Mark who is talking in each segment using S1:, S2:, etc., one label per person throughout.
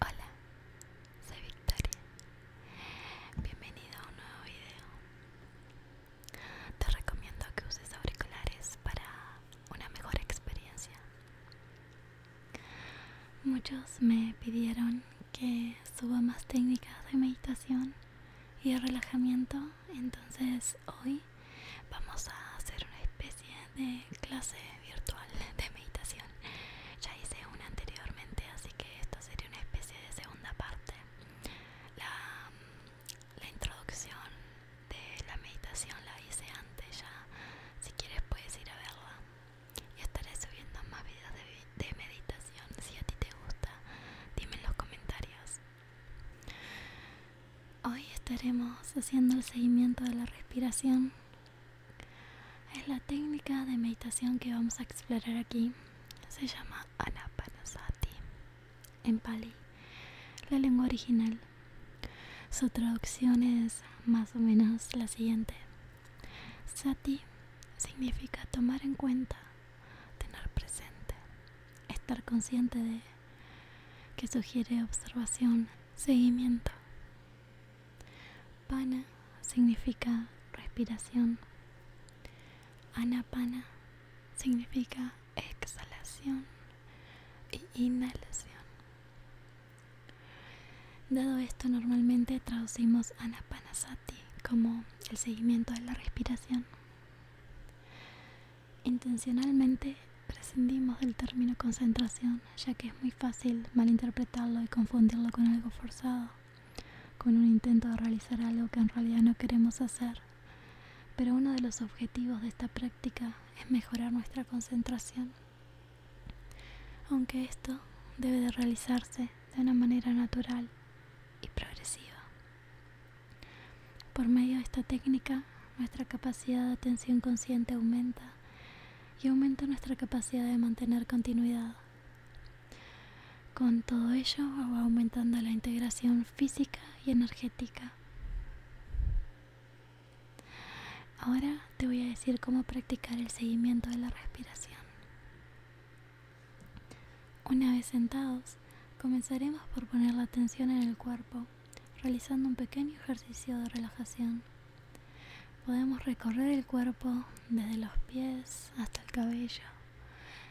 S1: Hola, soy Victoria. Bienvenido a un nuevo video. Te recomiendo que uses auriculares para una mejor experiencia. Muchos me pidieron que suba más técnicas de meditación y de relajamiento, entonces hoy vamos a hacer una especie de clase virtual de meditación ya hice una anteriormente así que esto sería una especie de segunda parte la, la introducción de la meditación la hice antes ya si quieres puedes ir a verla y estaré subiendo más videos de, de meditación si a ti te gusta dime en los comentarios Hoy estaremos haciendo el seguimiento de la respiración es la técnica de meditación que vamos a explorar aquí. Se llama Anapanasati en Pali, la lengua original. Su traducción es más o menos la siguiente. Sati significa tomar en cuenta, tener presente, estar consciente de, que sugiere observación, seguimiento. Pana significa respiración. Anapana significa exhalación e inhalación. Dado esto, normalmente traducimos anapanasati como el seguimiento de la respiración. Intencionalmente prescindimos del término concentración ya que es muy fácil malinterpretarlo y confundirlo con algo forzado, con un intento de realizar algo que en realidad no queremos hacer. Pero uno de los objetivos de esta práctica es mejorar nuestra concentración, aunque esto debe de realizarse de una manera natural y progresiva. Por medio de esta técnica, nuestra capacidad de atención consciente aumenta y aumenta nuestra capacidad de mantener continuidad. Con todo ello va aumentando la integración física y energética. Ahora te voy a decir cómo practicar el seguimiento de la respiración. Una vez sentados, comenzaremos por poner la atención en el cuerpo, realizando un pequeño ejercicio de relajación. Podemos recorrer el cuerpo desde los pies hasta el cabello,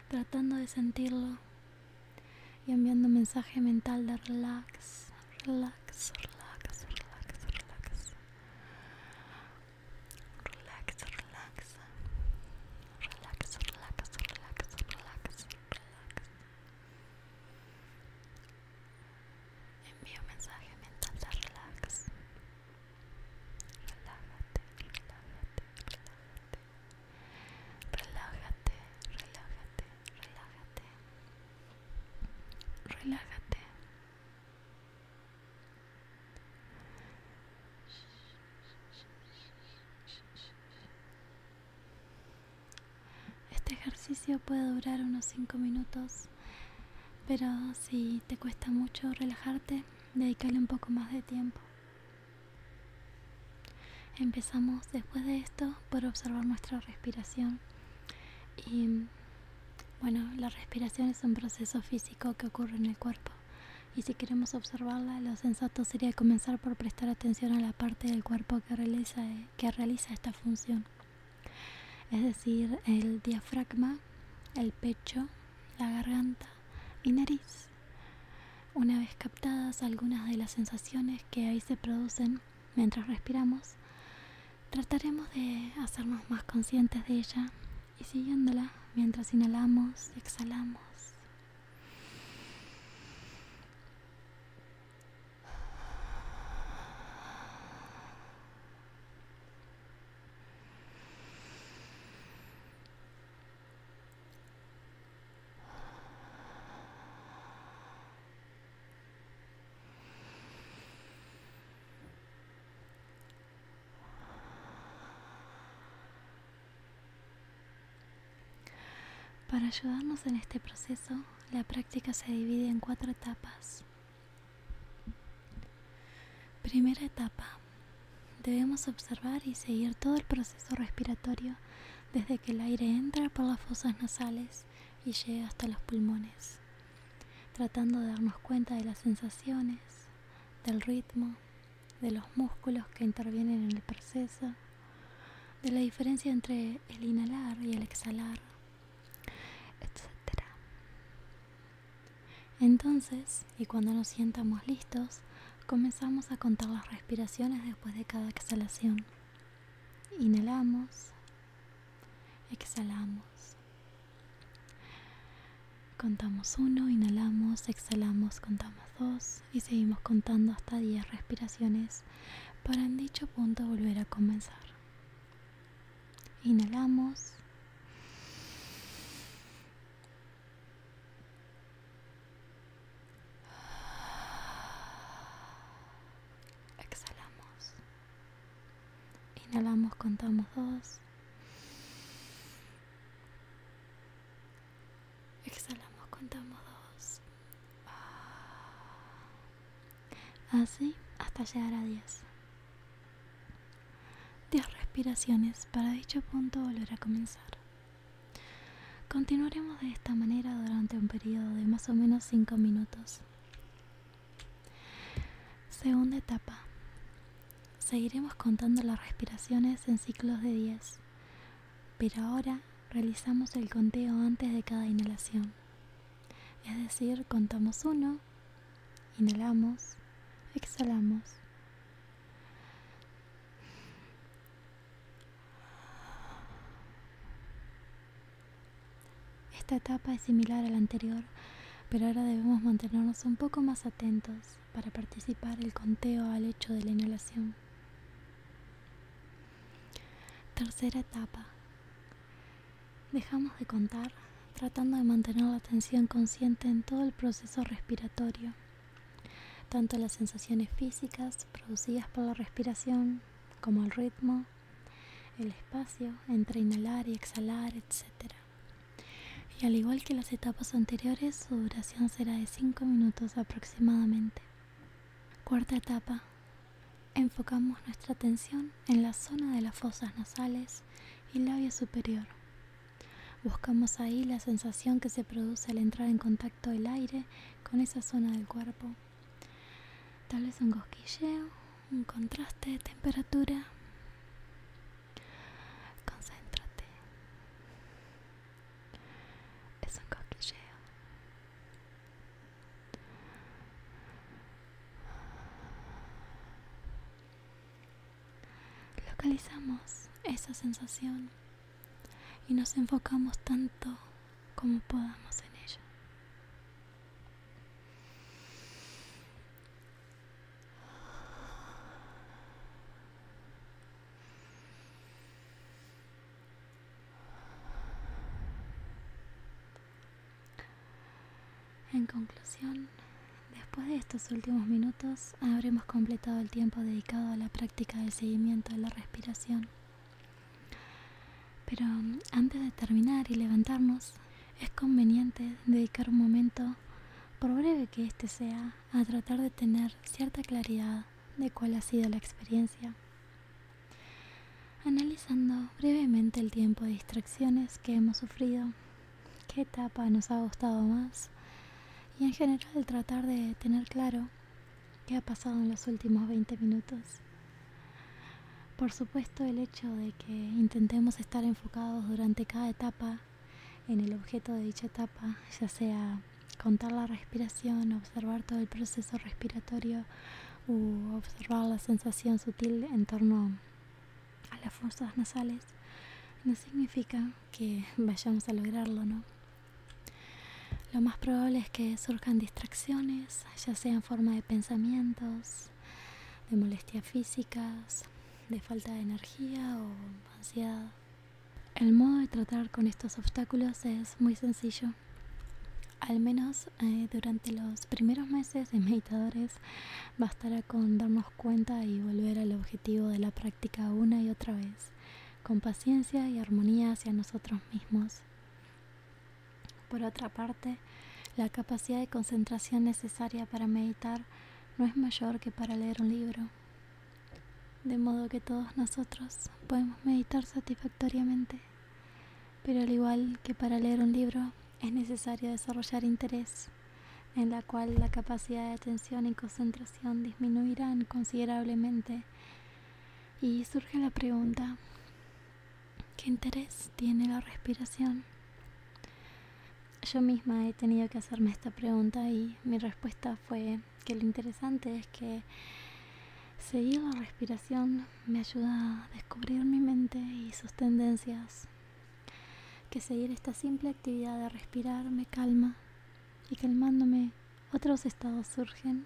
S1: tratando de sentirlo y enviando mensaje mental de relax, relax, relax, relax, relax. Relax, relax. Relax, relax, relax, relax, relax. Envío mensaje mental de relax. Relájate, relájate, relájate. Relájate, relájate, relájate. Relájate. Este ejercicio puede durar unos 5 minutos pero si te cuesta mucho relajarte, dedícale un poco más de tiempo. Empezamos después de esto por observar nuestra respiración. Y bueno, la respiración es un proceso físico que ocurre en el cuerpo. Y si queremos observarla, lo sensato sería comenzar por prestar atención a la parte del cuerpo que realiza, que realiza esta función es decir, el diafragma, el pecho, la garganta y nariz. Una vez captadas algunas de las sensaciones que ahí se producen mientras respiramos, trataremos de hacernos más conscientes de ella y siguiéndola mientras inhalamos, exhalamos. Para ayudarnos en este proceso, la práctica se divide en cuatro etapas. Primera etapa. Debemos observar y seguir todo el proceso respiratorio desde que el aire entra por las fosas nasales y llega hasta los pulmones, tratando de darnos cuenta de las sensaciones, del ritmo, de los músculos que intervienen en el proceso, de la diferencia entre el inhalar y el exhalar etcétera entonces y cuando nos sientamos listos comenzamos a contar las respiraciones después de cada exhalación inhalamos exhalamos contamos uno inhalamos exhalamos contamos dos y seguimos contando hasta 10 respiraciones para en dicho punto volver a comenzar Inhalamos. Exhalamos. Inhalamos, contamos dos. Exhalamos, contamos dos así ah, hasta llegar a 10. 10 respiraciones para dicho punto volver a comenzar. Continuaremos de esta manera durante un periodo de más o menos 5 minutos. Segunda etapa. Seguiremos contando las respiraciones en ciclos de 10, pero ahora realizamos el conteo antes de cada inhalación. Es decir, contamos uno inhalamos, exhalamos. Esta etapa es similar a la anterior, pero ahora debemos mantenernos un poco más atentos para participar el conteo al hecho de la inhalación. Tercera etapa. Dejamos de contar tratando de mantener la atención consciente en todo el proceso respiratorio, tanto las sensaciones físicas producidas por la respiración como el ritmo, el espacio entre inhalar y exhalar, etc. Y al igual que las etapas anteriores, su duración será de 5 minutos aproximadamente. Cuarta etapa. Enfocamos nuestra atención en la zona de las fosas nasales y labio superior. Buscamos ahí la sensación que se produce al entrar en contacto el aire con esa zona del cuerpo. Tal vez un cosquilleo, un contraste de temperatura. Concéntrate. Es un cosquilleo. Localizamos esa sensación y nos enfocamos tanto como podamos en ella. En conclusión, después de estos últimos minutos habremos completado el tiempo dedicado a la práctica del seguimiento de la respiración. Pero antes de terminar y levantarnos, es conveniente dedicar un momento, por breve que este sea, a tratar de tener cierta claridad de cuál ha sido la experiencia, analizando brevemente el tiempo de distracciones que hemos sufrido qué etapa nos ha gustado más y en general tratar de tener claro qué ha pasado en los últimos 20 minutos. Por supuesto el hecho de que intentemos estar enfocados durante cada etapa en el objeto de dicha etapa, ya sea contar la respiración, observar todo el proceso respiratorio u observar la sensación sutil en torno a las fuerzas nasales no significa que vayamos a lograrlo, ¿no? Lo más probable es que surjan distracciones, ya sea en forma de pensamientos, de molestias físicas, de falta de energía o ansiedad. El modo de tratar con estos obstáculos es muy sencillo. Al menos eh, durante los primeros meses de meditadores bastará con darnos cuenta y volver al objetivo de la práctica una y otra vez, con paciencia y armonía hacia nosotros mismos. Por otra parte, la capacidad de concentración necesaria para meditar no es mayor que para leer un libro. De modo que todos nosotros podemos meditar satisfactoriamente, pero al igual que para leer un libro, es necesario desarrollar interés, en la cual la capacidad de atención y concentración disminuirán considerablemente. Y surge la pregunta, ¿qué interés tiene la respiración? Yo misma he tenido que hacerme esta pregunta y mi respuesta fue que lo interesante es que seguir la respiración me ayuda a descubrir mi mente y sus tendencias, que seguir esta simple actividad de respirar me calma y calmándome otros estados surgen,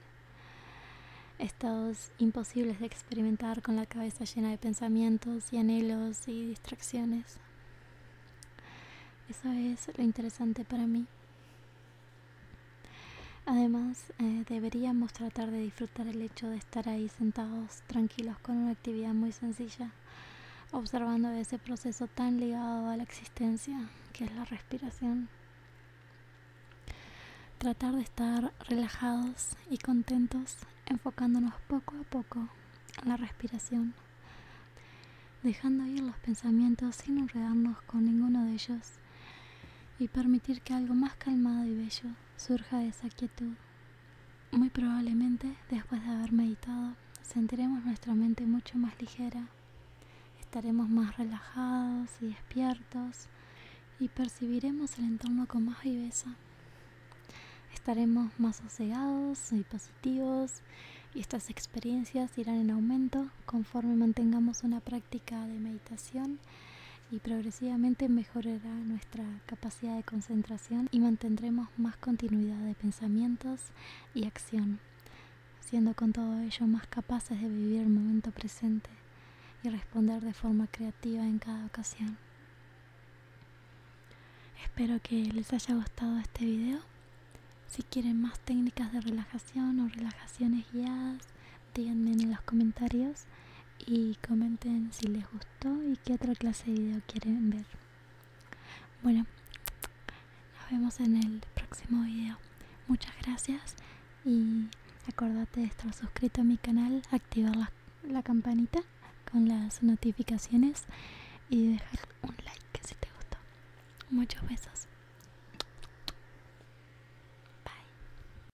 S1: estados imposibles de experimentar con la cabeza llena de pensamientos y anhelos y distracciones. Eso es lo interesante para mí. Además, eh, deberíamos tratar de disfrutar el hecho de estar ahí sentados tranquilos con una actividad muy sencilla observando ese proceso tan ligado a la existencia que es la respiración. Tratar de estar relajados y contentos, enfocándonos poco a poco a la respiración, dejando ir los pensamientos sin enredarnos con ninguno de ellos y permitir que algo más calmado y bello surja de esa quietud. Muy probablemente, después de haber meditado, sentiremos nuestra mente mucho más ligera, estaremos más relajados y despiertos y percibiremos el entorno con más viveza. Estaremos más sosegados y positivos y estas experiencias irán en aumento conforme mantengamos una práctica de meditación y progresivamente mejorará nuestra nuestra capacidad de concentración y mantendremos más continuidad de pensamientos y acción, siendo con todo ello más capaces de vivir el momento presente y responder de forma creativa en cada ocasión. Espero que les haya gustado este video. Si quieren más técnicas de relajación o relajaciones guiadas, díganme en los comentarios y comenten si les gustó y qué otra clase de video quieren ver. Bueno, nos vemos en el próximo video. Muchas gracias y acordate de estar suscrito a mi canal, activar la, campanita con las notificaciones y dejar un like si te gustó. Muchos besos. Bye.